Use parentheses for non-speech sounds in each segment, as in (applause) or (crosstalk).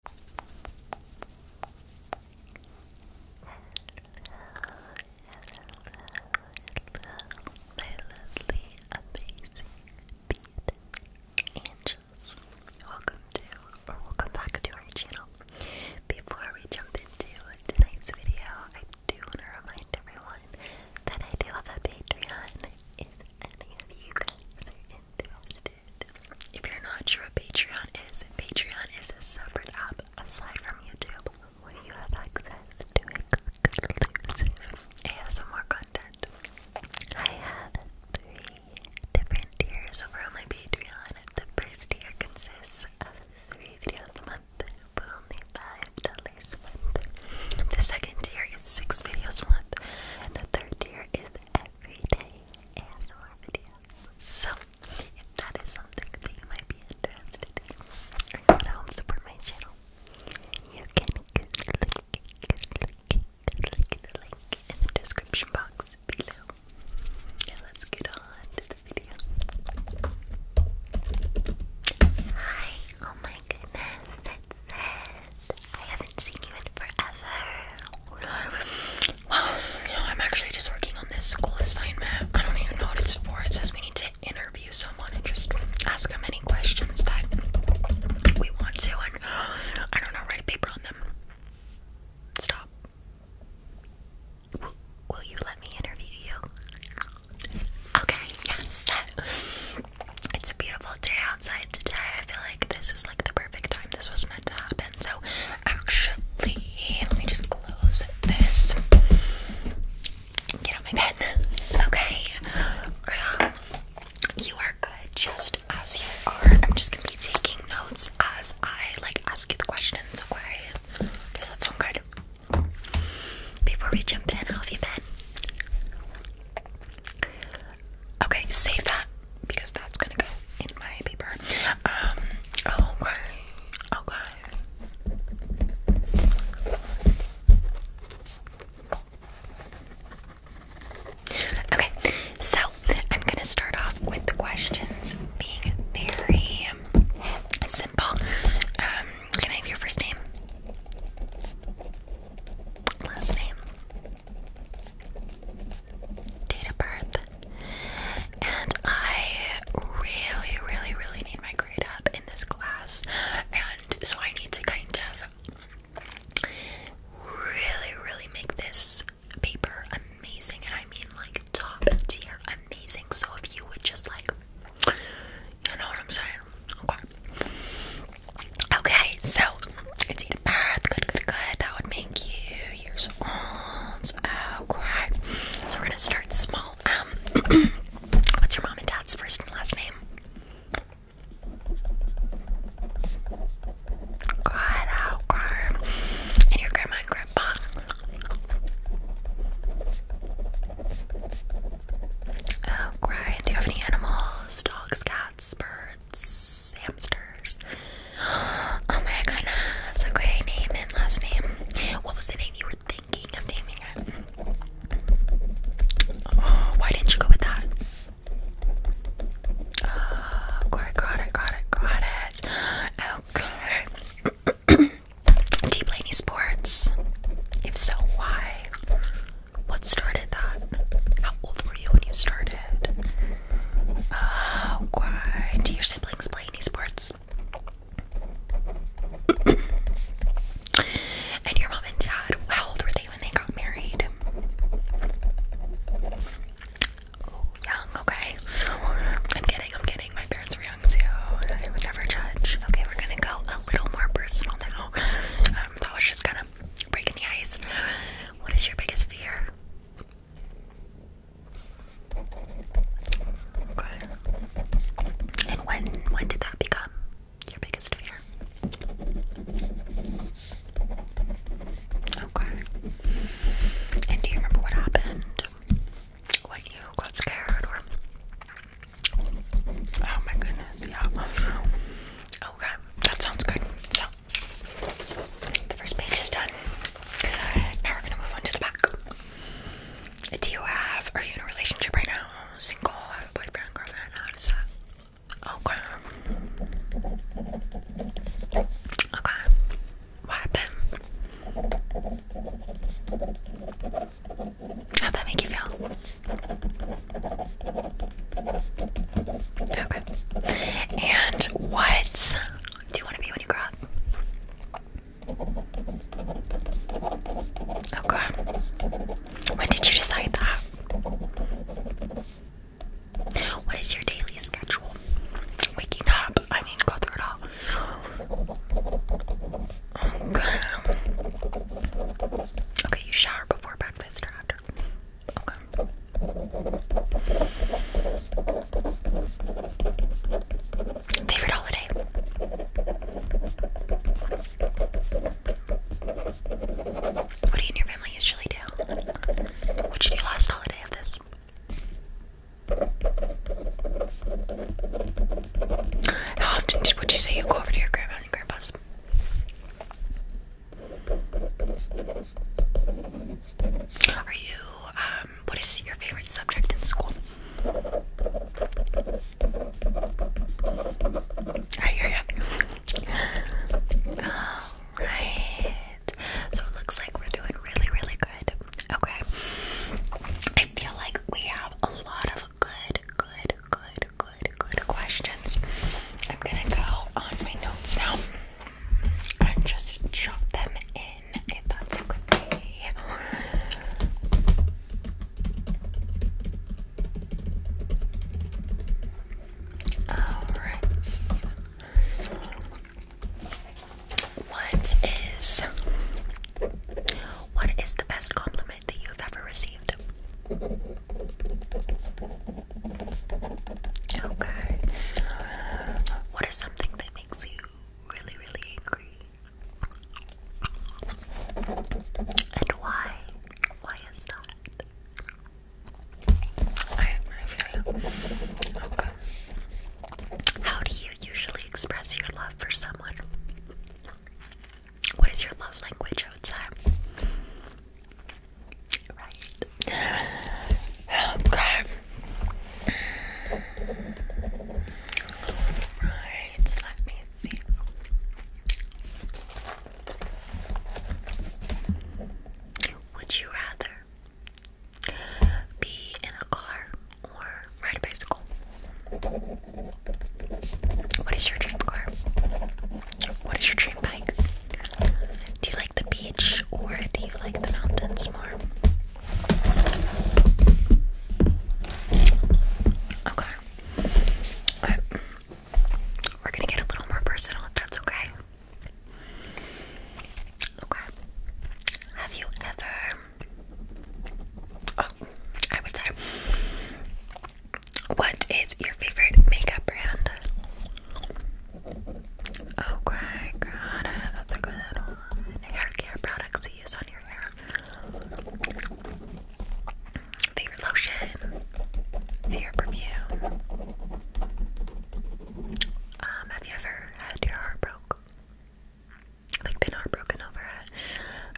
Hello, hello, hello, my lovely, amazing, beat angels. Welcome to, or welcome back to our channel. Before we jump into tonight's video, I do want to remind everyone that I do have a Patreon. If any of you guys are interested if you're not sure what Patreon is, Patreon is a separate app aside from YouTube where you have access to exclusive more content. I have three different tiers over on my Patreon. The first tier consists of three videos a month for only $5 a month. The second tier is six videos a month. And the third tier is everyday ASMR videos. So, if that is something that you might be interested in, to help support my channel, you can click, the link in the description box below. And let's get on to the video. Hi, oh my goodness, it's Sid. I haven't seen you in forever. Well, you know, I'm actually just working on this school assignment. I don't even know what it's for. It says we need to interview someone and just ask them any questions that we want to, and (gasps) I don't know, write a paper on them. Stop. Will, you let me interview you? Okay, yes. It's a beautiful day outside today. I feel like this is like the perfect time this was meant to happen. So, actually, let me just close this. Get out my pen. Okay. Um, you are good just as you are. I'm just gonna be taking notes as I like ask you the questions, okay? Does that sound good? Before we jump in, how have you been? Okay, save that because that's gonna go in my paper. Um, oh, okay. Okay. Oh, okay, so I'm gonna start off with the questions being very simple. Um, can I have your first name? Last name date of birth. And I really, really, really need my grade up in this class. And so I need to kind of really, really make this paper amazing. And I mean like top tier amazing. So if you would just like, you know what I'm saying? Okay. Okay, so it's in a Good, good, good. That would make you years old. Okay. Oh, so we're gonna start small. Um, (clears throat) what's your mom and dad's first and last name? God, okay. Oh, and your grandma grandpa. Oh, Do you have any animals? Dogs, cats, birds? birds, hamsters. Oh my goodness. Okay, name and last name. What was the name you were thinking of naming it? Oh, why didn't you go with that? Oh, ah, got it, got it, got it, got it. Okay. (clears throat) Do you play any sports? If so, why? What started that? How old when you started? Uh, do your siblings play any sports? (coughs) and your mom and dad, how old were they when they got married? young, okay. I'm kidding, I'm kidding. My parents were young too. I would never judge. Okay, we're gonna go a little more personal now. Um, was just kind of breaking the ice. What is your biggest fear? Okay. And when when did that become your biggest fear? Okay. And do you remember what happened? When you got scared or Oh my goodness, yeah. Okay, that sounds good. So the first page is done. Now we're gonna move on to the back. Do you have? Are you in a relationship right now? Single? Have a boyfriend, girlfriend? How is that? Okay. Okay. What happened? How'd that make you feel? Okay. And what do you want to be when you grow up? Okay. When did you decide that? What is your daily schedule? Waking up. I mean, go through it all. Okay. Okay, you shower before breakfast or after? Favorite holiday? What do you and your family usually do? What did last holiday of this? How often would you say you go over to your grandma and grandpa's? Are you, um, what is your favorite subject in school? I hear you. Alright. So it looks like we're doing really, really good. Okay. I feel like we have a lot of good, good, good, good, good questions. I'm gonna go on my notes now and just chop them in if that's okay. Alright. What is what is the best compliment that you've ever received? Okay. What is something that makes you really, really angry? And why? Why is that? I have no idea. Okay. How do you usually express your love for someone? What is your love language outside? Right. Right, let me see. Would you rather be in a car or ride a bicycle? What is your dream car? What is your dream bike? Do you the beach or do you like the mountains more? Okay. We're gonna get a little more personal if that's okay. Okay. Have you ever Oh, I would say what is your favorite makeup brand? Okay, got it. That's a good one. Hair care products to use on your hair. Favorite lotion. Favorite perfume. Um, have you ever had your heart broke? Like been heartbroken over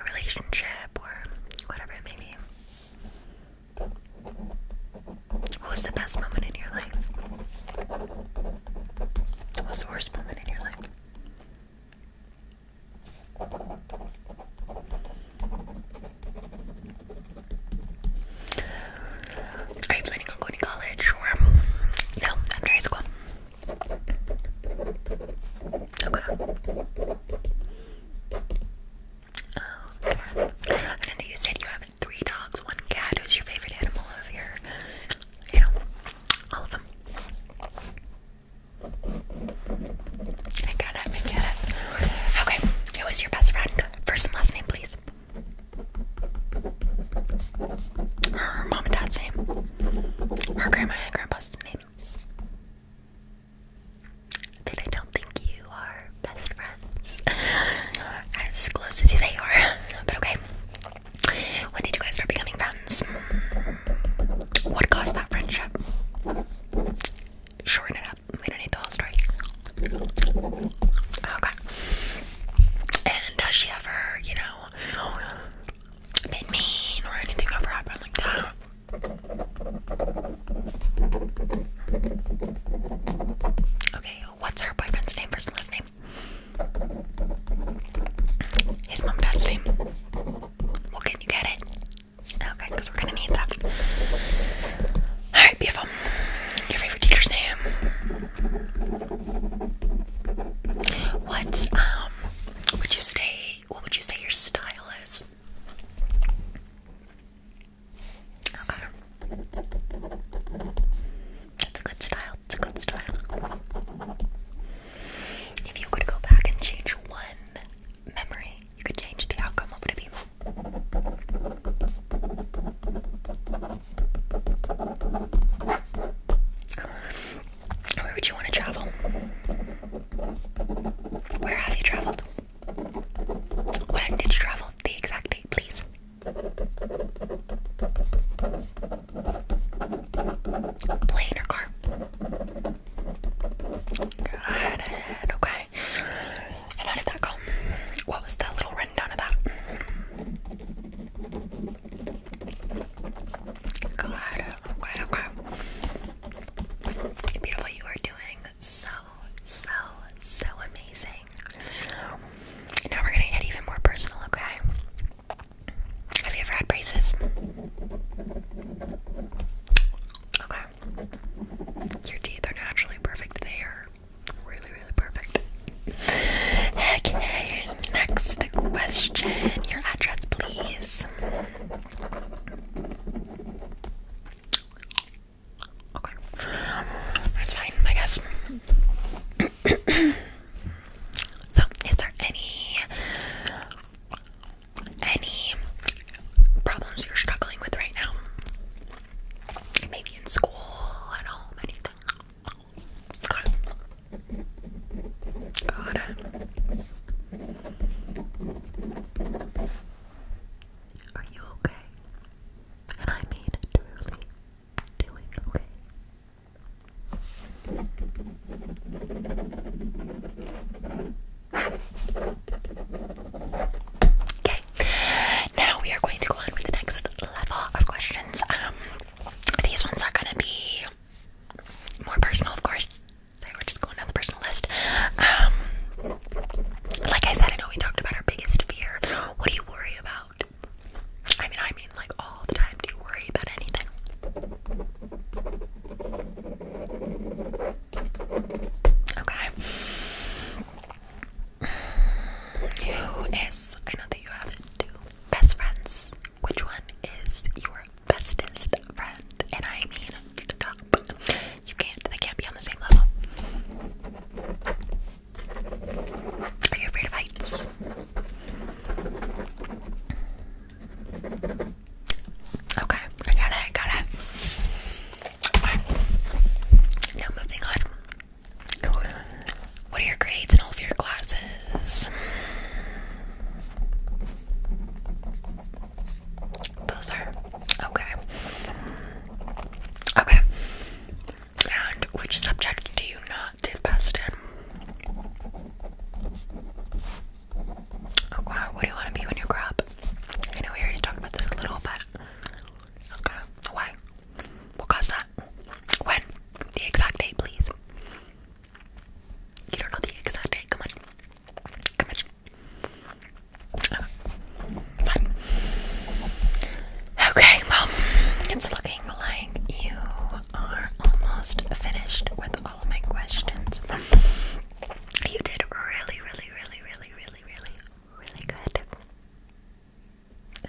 a relationship or whatever it may be. What was the best moment in your life? What was the worst moment in your life? Are you planning on going to college or you um, after high school? Okay. Okay. Um, and then you said you have three dogs, one cat. Who's your favorite animal of your, you know, all of them? I got it, I get it. Okay, who is your best friend? First and last name, please. Her mom and dad's name. Her grandma and grandpa's name. Then I don't think you you are best friends. (laughs) as close as you say you are. (laughs) But okay. When did you guys start becoming friends? What caused that friendship? Shorten it up. We don't need the whole story. Okay. And has she ever, you know, been mean or anything ever happened like that? Okay, What's her boyfriend's name? First and last name. His mom, dad's name. Well, can you get it? Okay, because we're gonna need that. All right, beautiful. Your favorite teacher's name. What um would you say? What would you say your style is? Okay. That's a good style. It's a good style. If you could go back and change one memory, you could change the outcome. What would Where would you want to travel? Where have you traveled? When did you travel? The exact date, please. Plane or car? Got Okay. how did that go? What was the little rundown of that? Got Okay, okay. Beautiful, you are doing so so, so amazing. Now we're gonna get even more personal, okay? Have you ever had braces? Okay. Your teeth are naturally perfect. They are really, really perfect. Okay, next question. Your address, please. Okay. That's fine, I guess. (clears throat) so, is there any any problems you're struggling with right now? Maybe in school, at home, anything? Got it. Got it. Are you okay? And I mean truly okay. Now we are going to go on with the next level of questions. Um, these ones are gonna be more personal, of course. They were just going down the personal list. Um, like I said, I know we talked about our biggest fear. What do you worry about? I mean, I mean, like all the time. Do you worry about anything? Okay. Who is, I know that you have two best friends. Which one is your bestest friend? And I mean, to You can't, they can't be on the same level. Are you afraid of heights? Okay, I got it, got it. Now moving on. What are your grades in all of your classes? Those are okay. Okay. And which subject do you not do best in? Oh, wow, what do you want to be when you grow up? I know we already talked about this a little, but why? What caused that? When? The exact date, please. You don't know the exact date. Come on, come on. Okay, well, it's looking like you are almost finished with all of my questions. You did really, really, really, really, really, really, really good.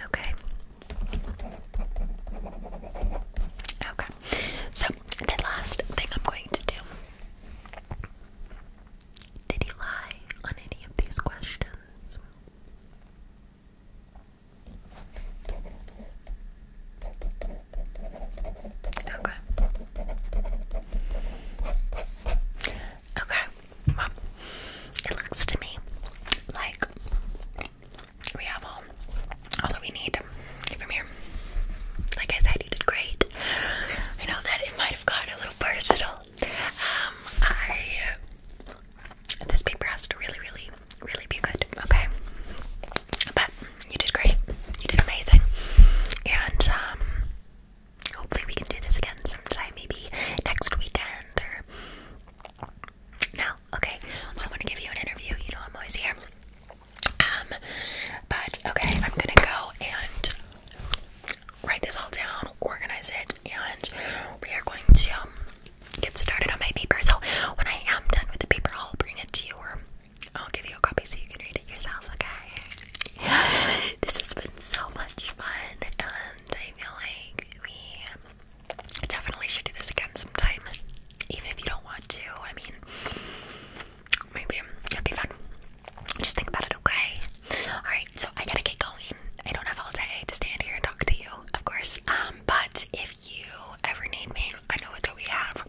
Okay. Okay. So, the last thing I'm going to do. Did you lie on any of these questions? Okay. Okay. it looks to me like we have all all that we need from here. Like I said, you did great. I know that it might have got a little personal. Um, I this paper has to really, really, really be good, okay? But you did great. You did amazing. And um, hopefully we can do this again sometime, maybe next weekend or no, okay. So I am going to give you an interview. You know I'm always here. Um, but okay, I'm gonna go and write this all down, organize it, and we are going to um, get started on my paper. So when I am done with the paper, I'll bring it to you, or I'll give you a copy so you can read it yourself. Okay. (gasps) This has been so much fun, and I feel like we definitely should do this again sometime, even if you don't want to. I mean, maybe it'll be fun. Just think about it, okay? Alright, so I gotta get going. I don't have all day to stand here and talk to you, of course. Um, but if you ever need me, I know that we have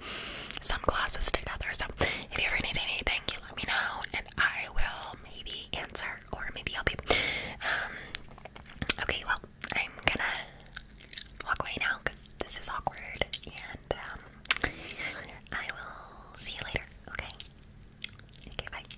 some classes together. So if you ever need anything, you let me know and I will maybe answer or maybe help you. Um okay, well, I'm gonna walk away now because this is awkward and um, I will see you later, okay? Okay, bye.